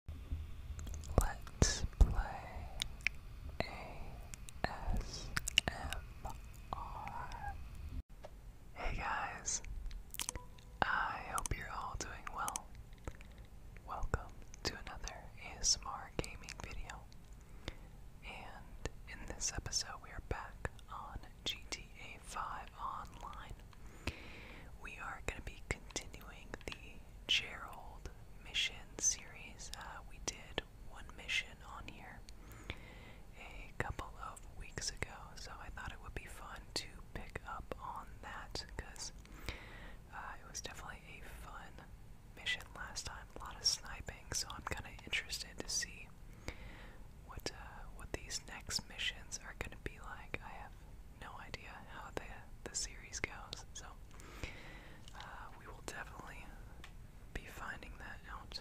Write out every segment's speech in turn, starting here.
Hey guys, I hope you're all doing well. Welcome to another ASMR gaming video. And in this episode, we are back on GTA 5 Online we are going to be continuing the Gerald mission series. Uh, we did one mission on here a couple of weeks ago, so I thought it would be fun to pick up on that because uh, it was definitely a fun mission last time. A lot of sniping, so I'm kind of interested to see what uh, what these next missions are going to be like. I have no idea how the the series goes, so uh, we will definitely be finding that out.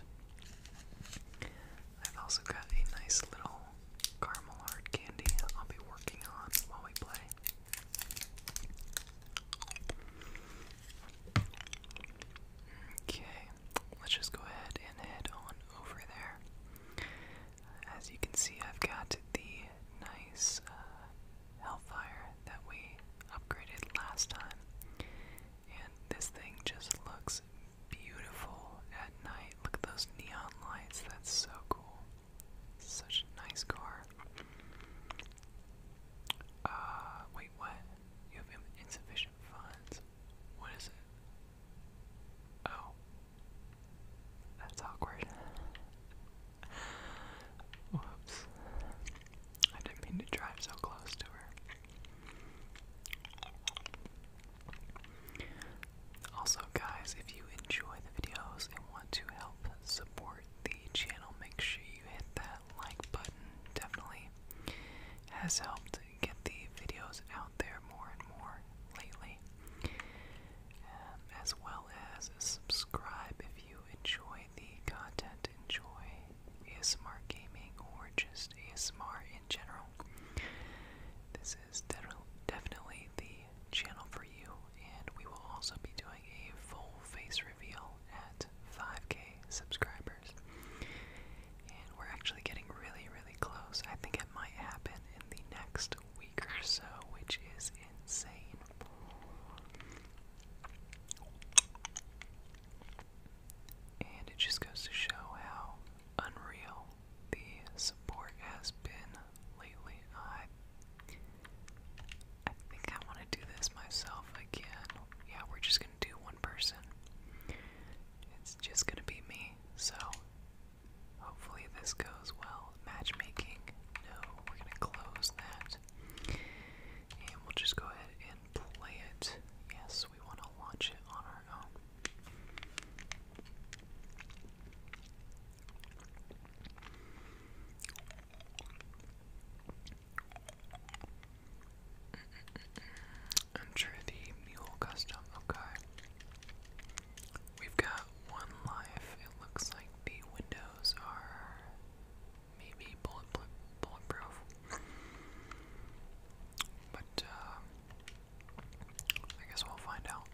I've also got a nice little caramel hard candy I'll be working on while we play. Okay, let's just go ahead and head on over there. As you can see, I've got the nice uh, Hellfire that we upgraded last time, and this thing just looks beautiful at night. Look at those neon lights, that's so cool. Such a nice car. Uh, wait, what? You have insufficient funds. What is it? Oh. That's awkward. Whoops. I didn't mean to drive so close to her. Also, guys, if you enjoy the videos and want to help support the channel, make sure you hit that like button. Definitely has helped get the videos out there more and more lately as well as subscribe if you enjoy the content, enjoy ASMR gaming or just ASMR in general. This is definitely the channel for you, and we will also be doing a full face reveal at 5k subscribers. And we're actually getting really, really close. I think it might happen in the next week or so, which is insane. And it just goes to show how unreal the support has been lately. I, I think I want to do this myself again. Yeah, we're just going to do one person. It's just going to be me. So Hopefully this goes well. Matchmaking? No, we're gonna close that. And we'll just go ahead and play it. Yes, we want to launch it on our own. i the mule custom, okay. We've got one life. It looks like the windows are maybe bullet bulletproof. But uh, I guess we'll find out.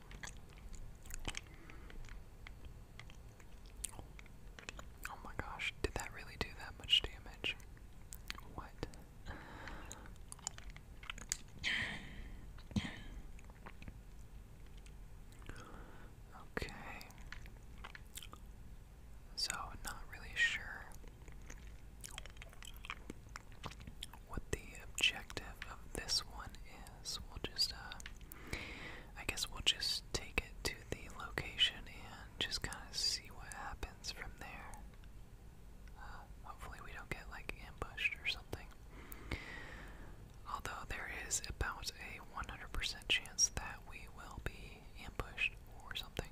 Oh my gosh, did that really do that much damage? What? Okay. So, not really sure what the objective of this one is. We'll just, uh, I guess we'll just take it to the location and just kind of see what happens from there. Uh, hopefully, we don't get like ambushed or something although there is about a 100% chance that we will be ambushed or something.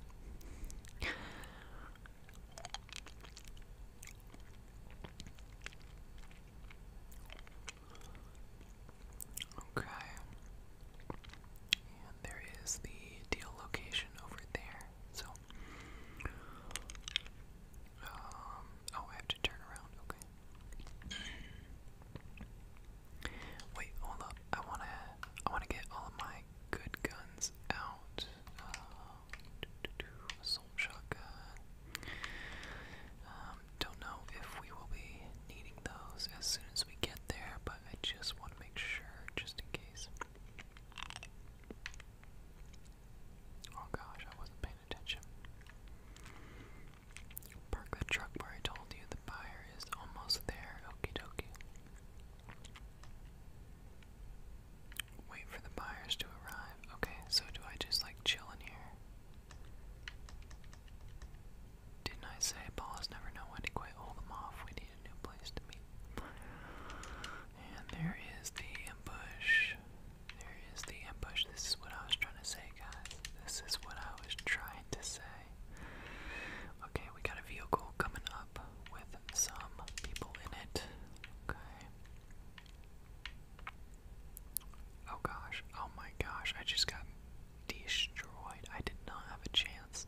Okay. And there is the deal location over there. So um, oh, I have to turn around, okay. Wait, hold up. I wanna, I wanna get all of my good guns out. Uh, shotgun. Um, don't know if we will be needing those as soon as we get there, but I just want to make sure, just in case. Oh gosh, I wasn't paying Park the truck where I told you the buyer is almost there. Okie dokie. Wait for the buyers to arrive. Okay, so do I just like chill in here? Didn't I say balls never know when to quit? Hold them off. We need a new place to meet. And there is the ambush. There is the ambush. This is what I was trying to say, guys. This is what I was trying to say. Okay, we got a vehicle coming up with some people in it. Okay. Oh gosh. Oh my gosh. I just got destroyed. I did not have a chance.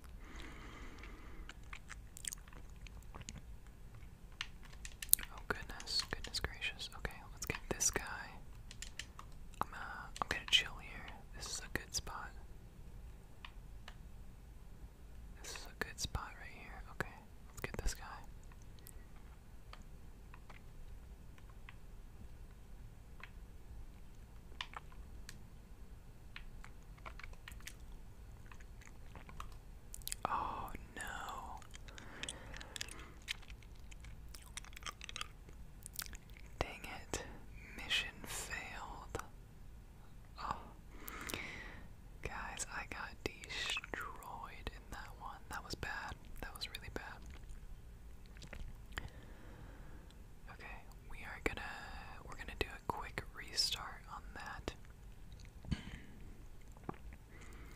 Oh goodness, goodness gracious. Okay, let's get this guy. Uh, I'm, gonna chill here. This is a good spot. This is a good spot right here. Okay, let's get this guy. Oh no. Dang it. Mission failed. Oh. Guys, I got destroyed in that one. That was bad. That was really bad. Okay, we are gonna we're gonna do a quick restart on that.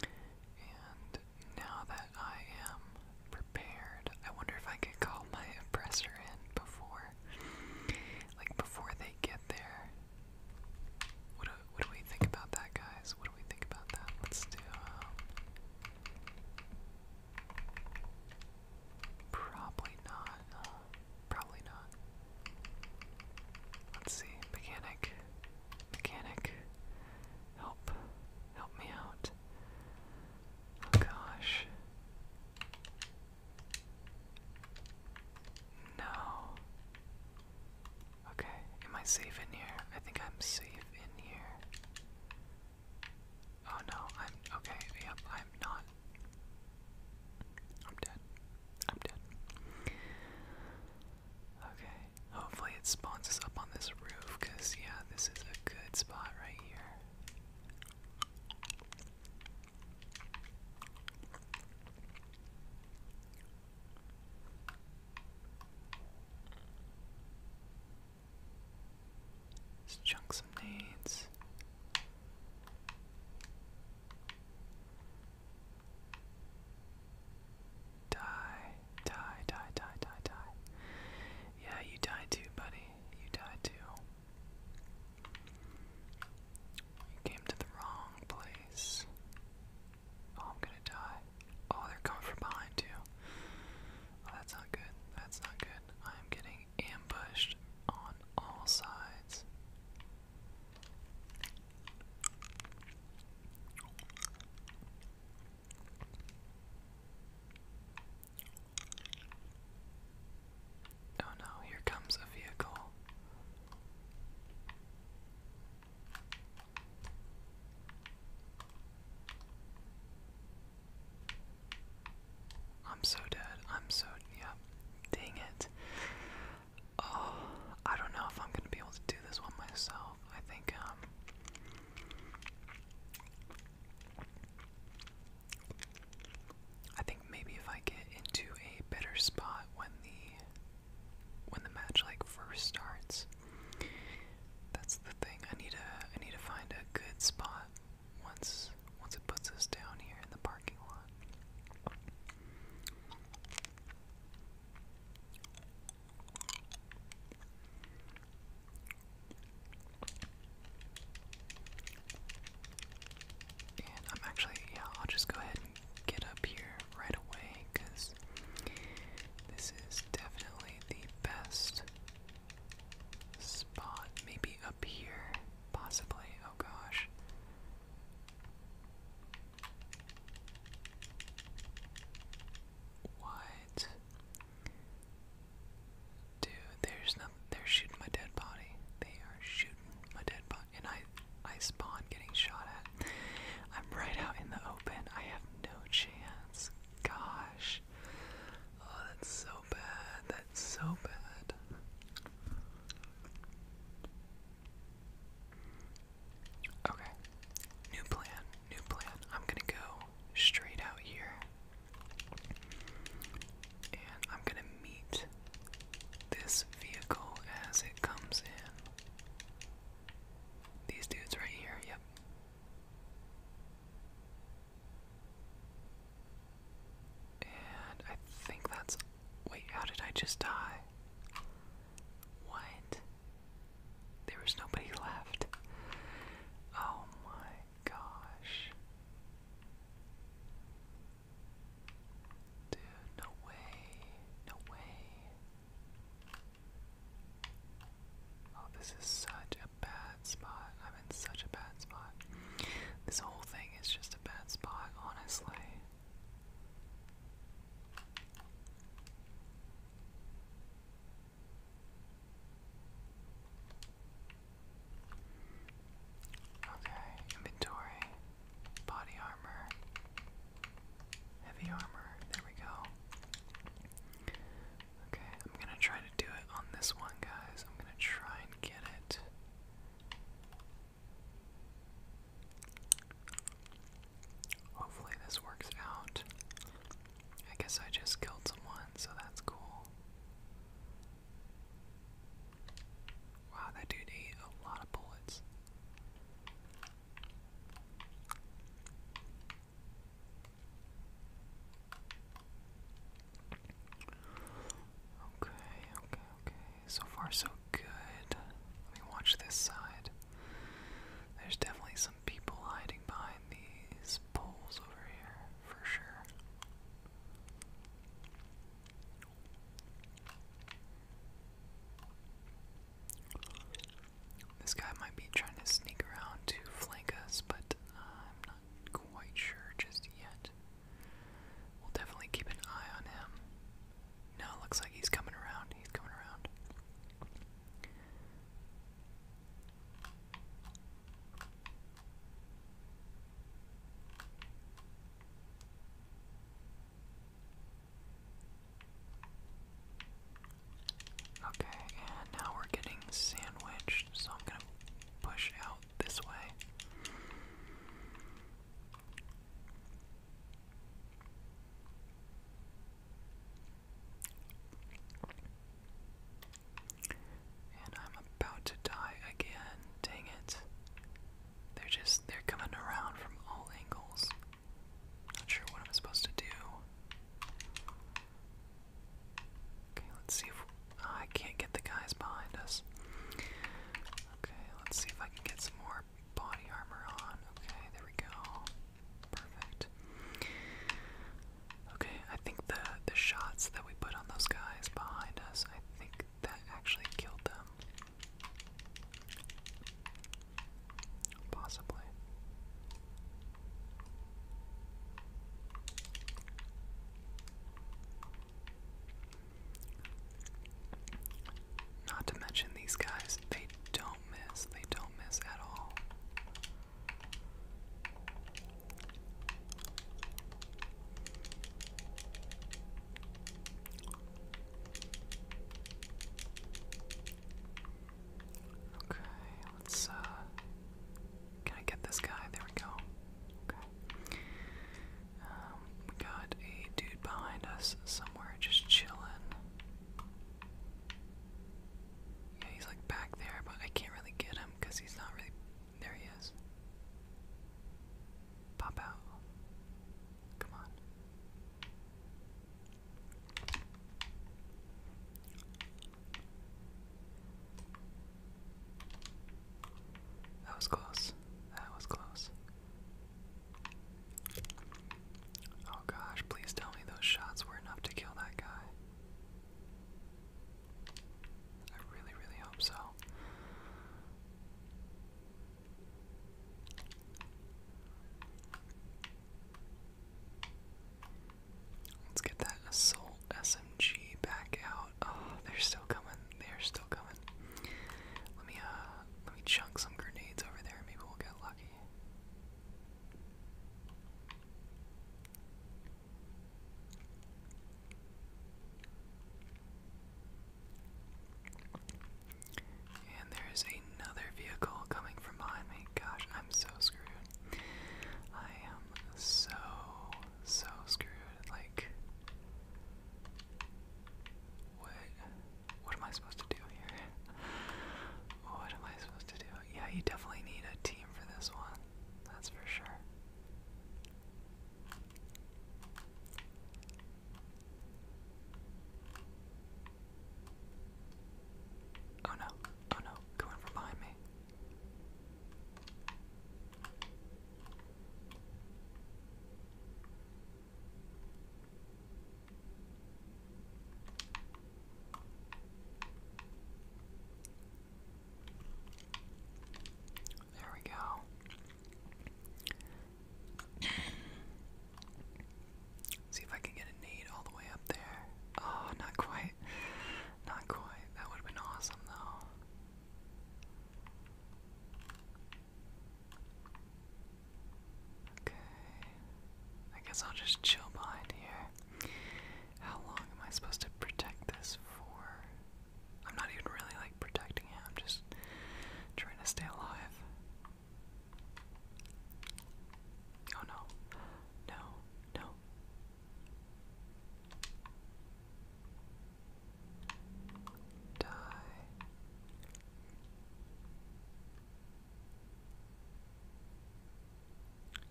And now that I am prepared, I wonder if I could call my oppressor in before, like before they get there. What do, what do we think about that, guys? What do we think about that? Let's do um, probably not. Uh, probably not. Let's see. Mechanic. Mechanic. Help. Help me out. Oh gosh. No. Okay, am I safe in here? I think I'm safe in here. Oh no, I'm okay. Yep, I'm not. I'm dead. I'm dead. Okay, hopefully it spawns us up on this roof, because, yeah, this is a good spot right here. Let's chunk some nades. Die, die, die, die, die, die. Yeah, you die too, buddy. You die too. You came to the wrong place. Oh, I'm gonna die. Oh, they're coming from behind you. Oh, that's not good. That's not good. I am getting ambushed on all sides. Oh no, here comes a vehicle. I'm so dead. I'm so yeah. Dang it. Oh, I don't know if I'm gonna be able to do this one myself. I think um I think maybe if I get into a better spot when the when the match like first starts, that's the thing. I need to need to find a good spot once once it puts us down here in the parking lot. And I'm actually, yeah, I'll just go ahead and get up here right away because this is definitely the best spot. Maybe up here, possibly. Oh gosh. What? Dude, there's nothing. They're shooting my dead body. They are shooting my dead body, and I, I spawn getting shot at. I'm right out in the open. I have no chance. Gosh. Oh, that's so bad. That's so bad. Okay. New plan, new plan. I'm gonna go straight out here. And I'm gonna meet this vehicle as it comes in. These dudes right here, yep. And I think that's. Wait, how did I just die? What? There was nobody left. Oh my gosh. Dude, no way. No way. Oh, this is such a bad spot. I'm in such a bad spot. This whole thing is just a bad spot, honestly. Okay, inventory, body armor, heavy armor, there we go. Okay, I'm gonna try to do it on this one, guys. I'm gonna try and get it. Hopefully this works out. I guess I just killed someone, so that's cool. Wow, that dude ate a lot of bullets. Okay, okay, okay. So far, so good. Let me watch this side. There's definitely some people hiding behind these poles over here, for sure. This guy might be trying to sneak around to flank us, but uh, I'm not quite sure just yet. We'll definitely keep an eye on him. No, looks like he's coming around. He's coming around. Okay, and now we're getting sandwiched, so I'm gonna push out this way. And I'm about to die again. Dang it. They're just they're coming around from all angles. Not sure what I'm supposed to do. Okay, let's see if ah, I can't get the guys behind us. Okay, let's see if I can get some more body armor on. Okay, there we go. Perfect. Okay, I think the the shots that we put on those guys behind us, I think that actually killed them. Possibly. Not to mention these guys, they don't miss. They don't miss at all. Okay, let's uh can I get this guy? There we go. Okay. Um, we got a dude behind us somewhere just chillin'. Yeah, he's like back there, but I can't really get him because he's not really. There he is. Pop Come on. That was close. That was close. Oh gosh, please tell me those shots were enough to kill that guy. I really, really hope so. Let's get that assault SMG back out. Oh, they're still coming. They're still coming. Let me uh, let me chunk some grenades over there. Maybe we'll get lucky. And there is another vehicle coming from behind me. Gosh, I'm so screwed. I am so, so screwed. Like, what? What am I supposed to do here? What am I supposed to do? yeah, you definitely need a team for this one. That's for sure. Oh no, oh no, going from behind me. There we go. See if I can get a nade all the way up there. Oh, not quite. Not quite. That would have been awesome, though. Okay. I guess I'll just chill behind here. How long am I supposed to protect this for? I'm not even really like protecting it, I'm just trying to stay alive. Oh no. No, no. Die.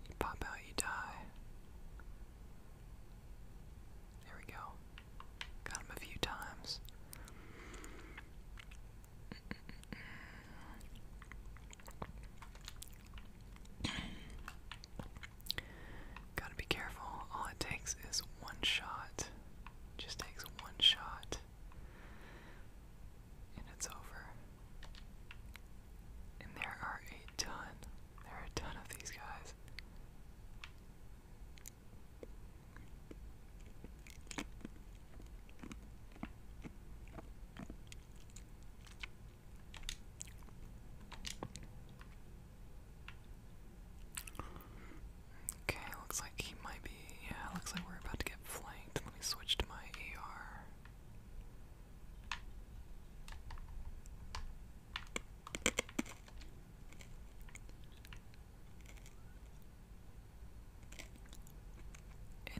You pop out, you die. There we go. Got him a few times. Gotta be careful. All it takes is one shot. Just takes one shot and it's over. And there are a ton, there are a ton of these guys. Okay, looks like he might be. Yeah, looks like we're about to get flanked. Let me switch to my AR.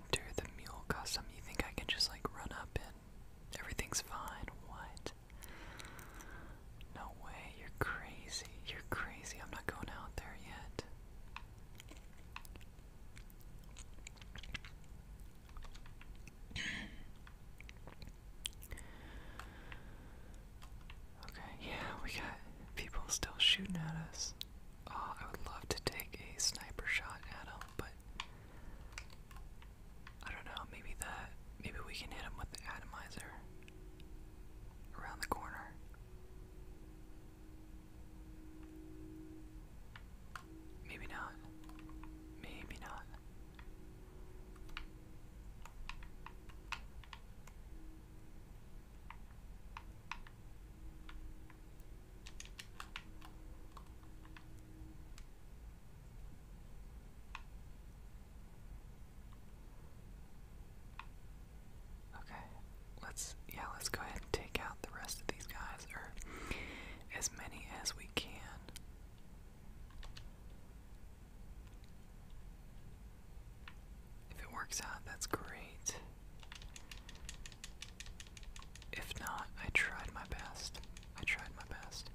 Enter the mule custom. You think I can just like run up and everything's fine? What? No way. You're crazy. You're crazy. I'm not going out there yet. Okay, yeah, we got people still shooting at us. Oh, I would love to take a sniper shot at them, but I don't know, maybe that, maybe we can hit them with the atomizer around the corner. Maybe not. Maybe not. Okay, let's yeah, let's go ahead and take out the rest of these guys, or as many as we can. If it works out, that's great. If not, I tried my best. I tried my best.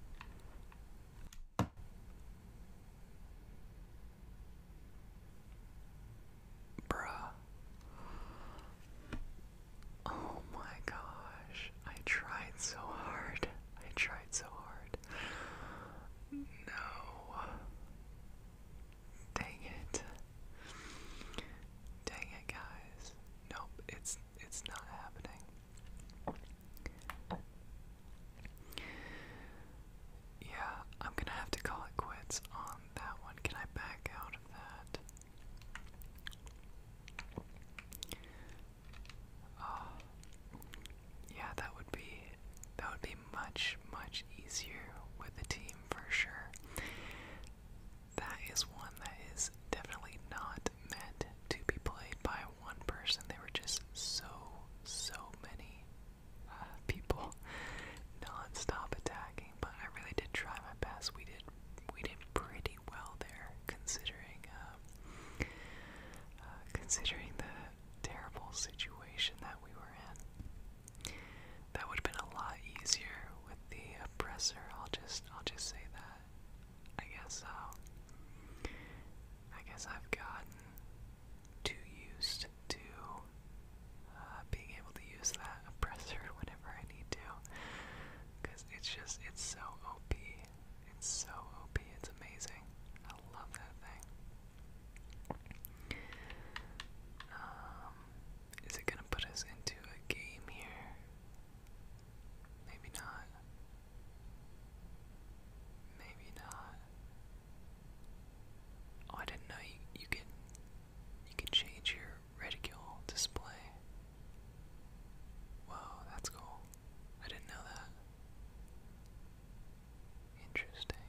Bruh. Oh my gosh. I tried so hard. I tried so hard. No. Dang it. Dang it, guys. Nope, it's it's not happening. Yeah, I'm gonna have to call it quits on that one. Can I back out of that? Uh, yeah, that would be that would be much much easier with a team for sure. That is one that is definitely not meant to be played by one person. There were just so so many uh, people non attacking but I really did try my best. We did we did pretty well there, considering um, uh, considering the terrible situation that we were in. That would have been a lot easier with the oppressor. I'll just I'll just say that. I guess so. Um, I guess I've gotten too used to uh, being able to use that oppressor whenever whenever I need to. Because it's just, it's so OP. It's so OP. It's amazing. I love that thing. Um, is it gonna put us into a game here? Maybe not. Maybe not. Oh, I didn't know you can you can change your reticule display. Whoa, that's cool. I didn't know that. Interesting.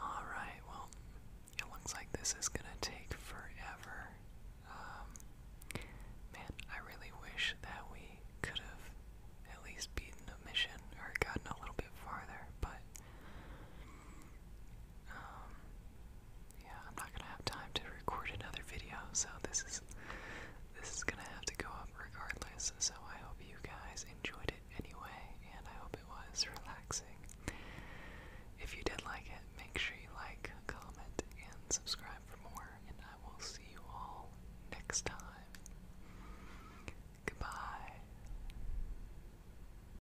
Alright, well, it looks like this is gonna take forever. Um, man, I really wish that we could have at least beaten a mission or gotten a little bit farther, but um, yeah, I'm not gonna have time to record another video, so this is this is gonna have to go up regardless. So I hope you guys enjoyed it anyway, and I hope it was relaxing. If you did like it, make sure you like, comment, and subscribe for more, and I will see you all next time. Goodbye.